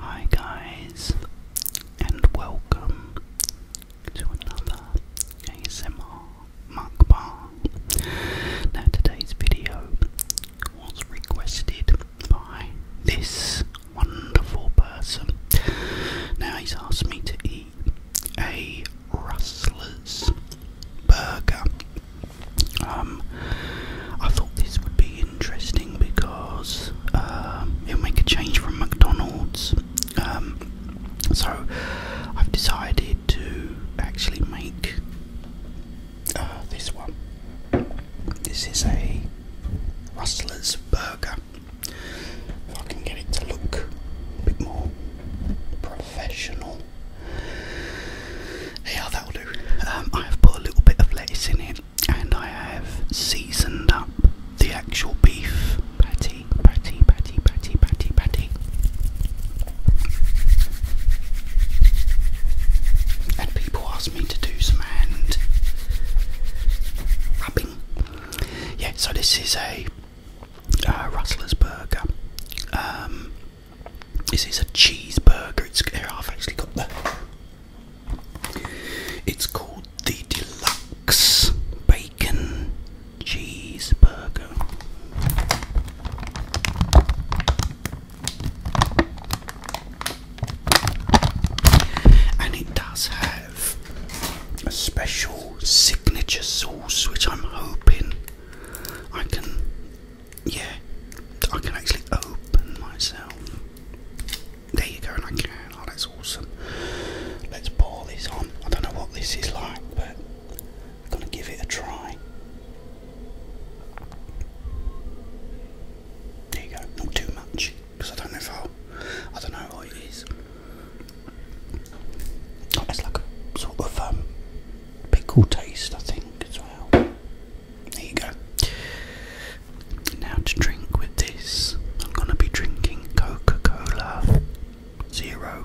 Hi, guys, and welcome to another ASMR mukbang. Now, today's video was requested by this wonderful person. Now he's asked me to eat a Rustler's burger. Um, I thought this would be interesting because um, it'll make a change from McDonald's. Um, so I've decided to actually make Ah, this one. This is a Rustler's burger. If I can get it to look a bit more professional. Yeah, that'll do. Um, I have put a little bit of lettuce in it and I have seasoned up the actual beef patty, patty, patty, patty, patty, patty. And people asked me to do some hand rubbing. Yeah, so this is a uh, Rustler's burger. Um, this is a cheeseburger. It's here. actually got the. It's called the deluxe bacon cheeseburger. And it does have a special signature sauce which I'm hoping I can yeah I can actually open myself. There you go and I can. Oh that's awesome. Let's pour this on. I don't know what this is like but I'm gonna give it a try. There you go, not too much, because I don't know if I'll, I don't know what it is. Oh, it's like a sort of um, pickle taste, I think, as well. There you go. Now to drink with this, I'm going to be drinking Coca Cola Zero.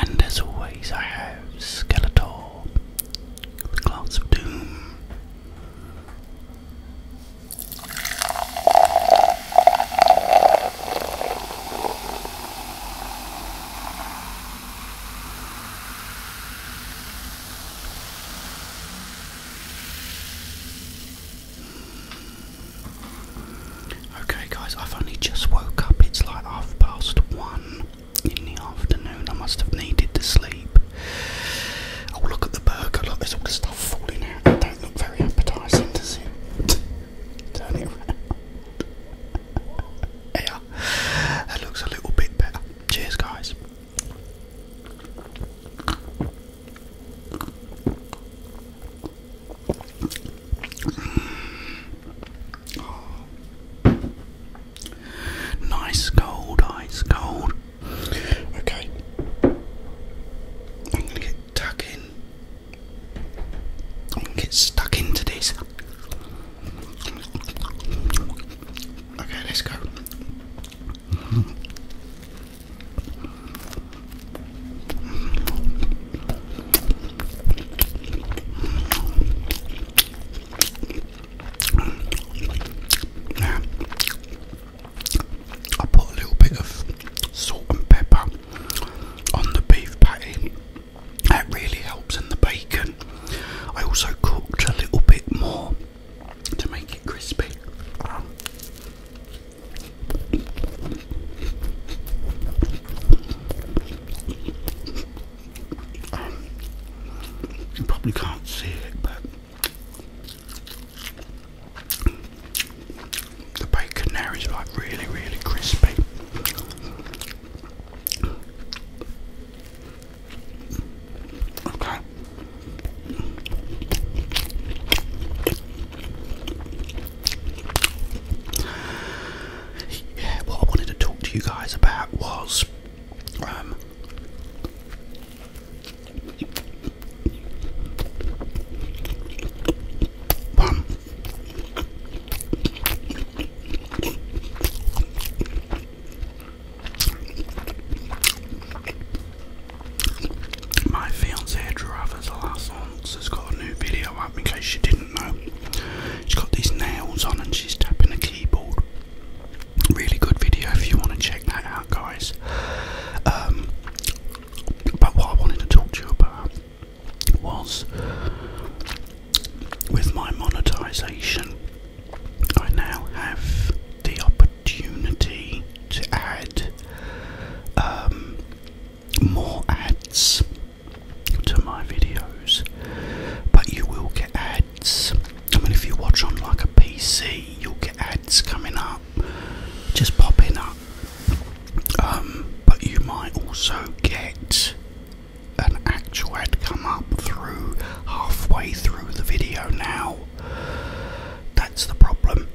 And as always, I have Skeletor, the Glass of Doom. Okay, guys, I've only just woke up. It's like half past one in the afternoon. I must have needed to sleep. Oh, look at the burger. Look, there's all the stuff falling out. It don't look very appetizing, does it? Turn it around. yeah, that looks a little bit better. Cheers, guys. Nice cold, ice cold. Okay. I'm gonna get tuck in. I'm gonna get stuck into this. Okay, let's go. Now, I put a little bit of salt and pepper on the beef patty. That really helps in the bacon. I also cooked a little bit more to make it crispy. you probably can't see it, but the bacon there is like really, really crispy. Okay. Yeah, what I wanted to talk to you guys about was um my fiancée drew the last once has got a new video up in case you didn't know. She's got these nails on and she's tapping a keyboard. Really good video if you want to check that out, guys. Um, but what I wanted to talk to you about was with my monetization, I now have the opportunity opportunity to add um, more ads to my videos, but you will get ads. I mean, if you watch on like a PC, you'll get ads coming up, just popping up. Um, but you might also get an actual ad come up through halfway through the video now that's the problem.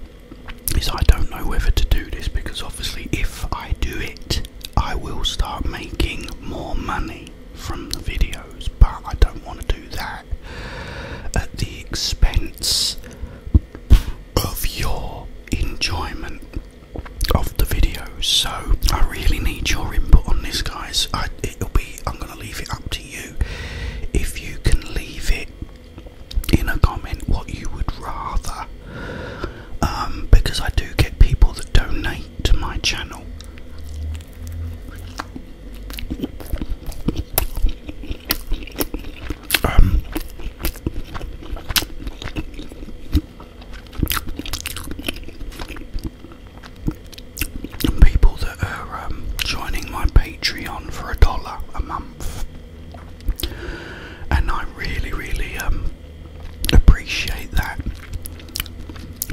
Is I don't know whether to do this because obviously if I do it, I will start making more money from the videos, but I don't want to do that at the expense of your enjoyment of the videos. So I really need your input on this, guys. I, it'll be I'm gonna leave it up to if you can leave it in a comment what you would rather. Um, because I do get people that donate to my channel. Um, people that are um, joining my Patreon for a dollar a month, and I really, really um, appreciate that.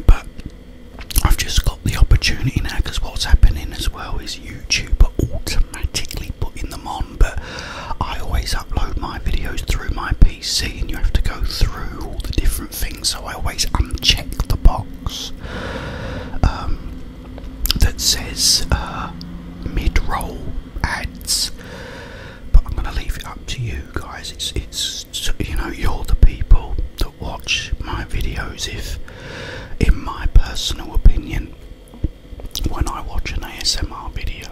But I've just got the opportunity now because what's happening as well is YouTube are automatically putting them on, but I always upload my videos through my PC, and you have to go through all the different things, so I always uncheck the box. Um, that says uh, mid-roll ads, but I'm gonna leave it up to you guys. It's it's you know you're the people that watch my videos. If, in my personal opinion, when I watch an ASMR video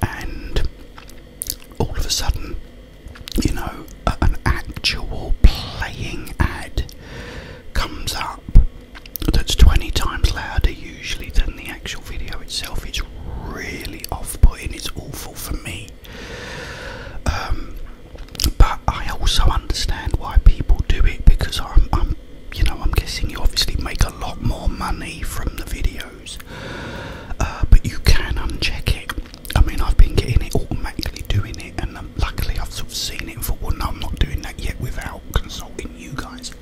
and all of a sudden you know, an actual playing ad comes up that's 20 times louder usually than the actual video itself. It's really off putting, it's awful for me. Um, but I also understand why people do it because I'm, you know, I'm guessing you obviously make a lot more money from the videos, uh, but you can uncheck it. I mean, I've been getting it automatically doing it, and um, luckily I've sort of seen it for. thought, well, no, I'm not doing that yet without consulting you guys.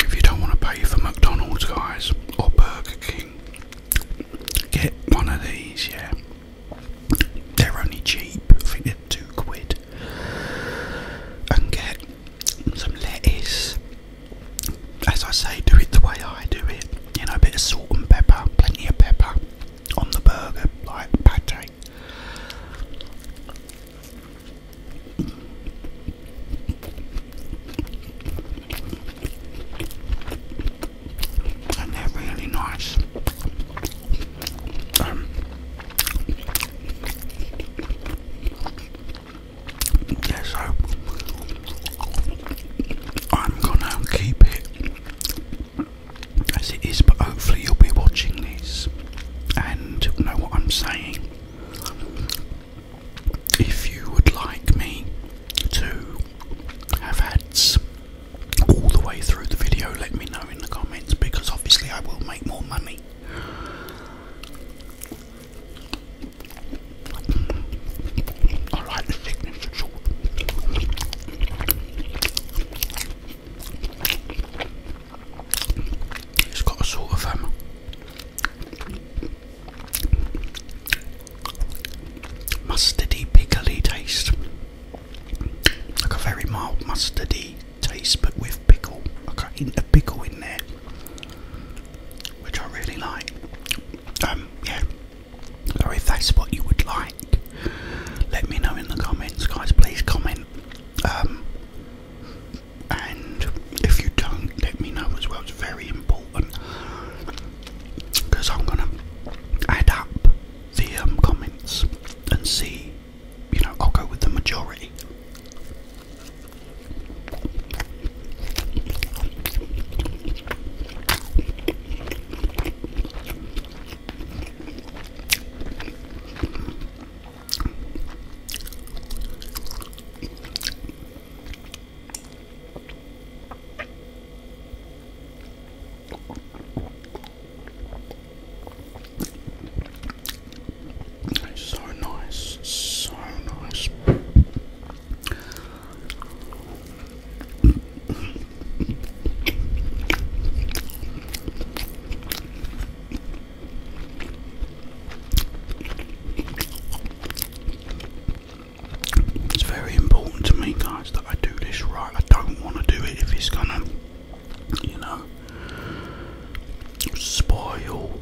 If you don't want to pay for McDonald's, guys, or Burger King, get one of these, yeah. They're only cheap, I think they two quid. And get some lettuce. As I say, do it the way I do it. You know, a bit of salt and pepper, plenty of pepper on the burger, like pate. And they're really nice. Um, yeah, so I'm gonna keep it as it is, but hopefully you'll be watching this and know what I'm saying if you would like me to have ads all the way through the video, let me know in the comments because obviously I will make more money. I it's got a sort of um, mustardy, pickly taste, like a very mild mustardy taste, but with pickle, like a hint of pickle in there, which I really like. Um, yeah. So if that's what you would like, let me know in the comments, guys. Please comment. Um, and if you don't, let me know as well. It's very important because I'm gonna add up the um, comments and see. You know, I'll go with the majority. It's so nice, so nice. It's very important to me, guys, that I do this right. I don't want to do it if it's gonna, you know, spoil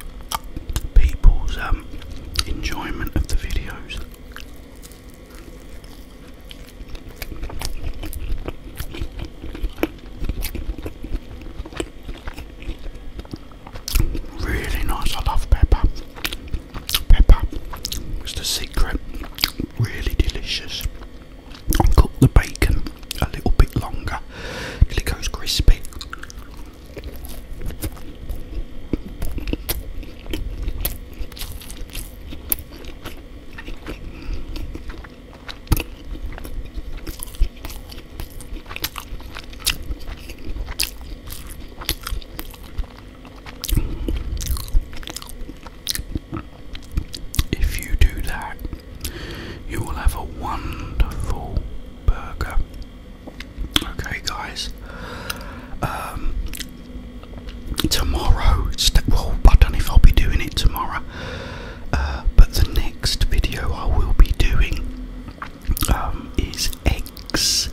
people's um, enjoyment of the videos. Really nice. I love pepper. Pepper is the secret. Really delicious. And cook the bacon a little bit longer till it goes crispy. If you do that, you will have a wonderful burger. Okay, guys. Um, tomorrow, well, I don't know if I'll be doing it tomorrow. Uh, but the next video I will be doing um, is eggs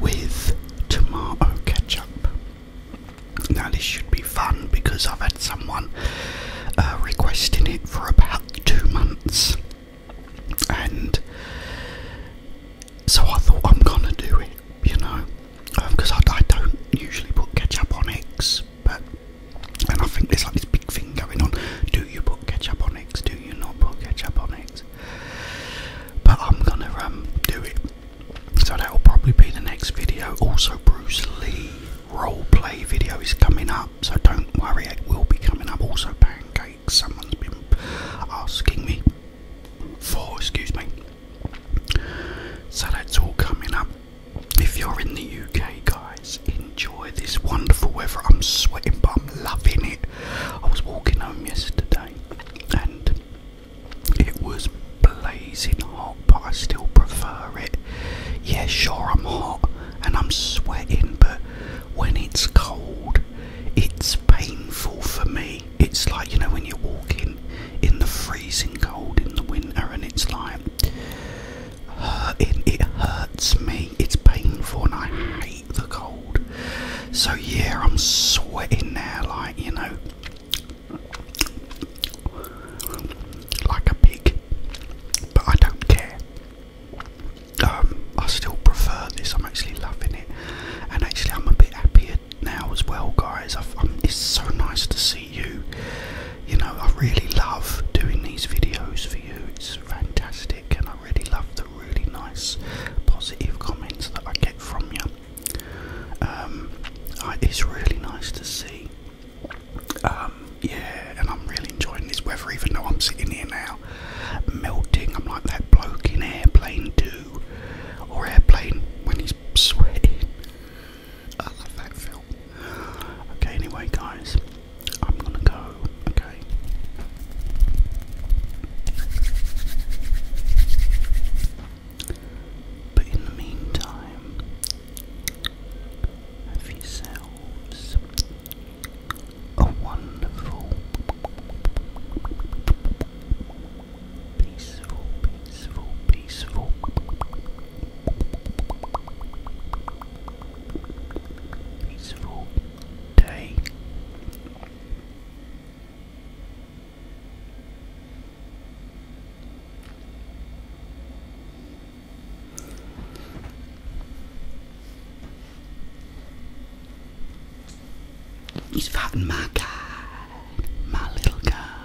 with tomato ketchup. Now, this should be fun because I've had someone uh, requesting it for about two months, and so I thought I'm gonna do it, you know, because um, I don't usually put ketchup on eggs but and I think there's like this big thing going on. Do you put ketchup on eggs? Do you not put ketchup on eggs? But I'm gonna um, do it. So that'll probably be the next video. Also, Bruce Lee role play video is coming up, so don't worry, it will be coming up. Also, pancakes. Someone's been asking me for. Excuse me. So that's all coming up. If you're in the UK, guys enjoy this wonderful weather. I'm sweating, but I'm loving it. I was walking home yesterday and it was blazing hot, but I still prefer it. Yeah, sure, I'm hot and I'm sweating, but when it's cold, it's painful for me. It's like, you know, when you're walking in the freezing cold in the winter and it's like it, it hurts me. It's painful, and I hate the cold. So yeah, I'm sweating now, like you know, like a pig. But I don't care. Um, I still prefer this. I'm actually loving it, and actually, I'm a bit happier now as well, guys. Um, it's so nice to see you you know, I really love doing these videos for you. It's fantastic, and I really love the really nice, positive comments that I get from you. Um, it's really nice to see. Um, yeah, and I'm really enjoying this weather, even though I'm sitting here now, melting. I'm like that bloke in Airplane 2 or Airplane when he's sweating. I love that film. Okay, anyway, guys, I'm gonna go, okay. But in the meantime, have yourselves a wonderful, peaceful, peaceful, peaceful peaceful day. He's fucking my guy, my little guy.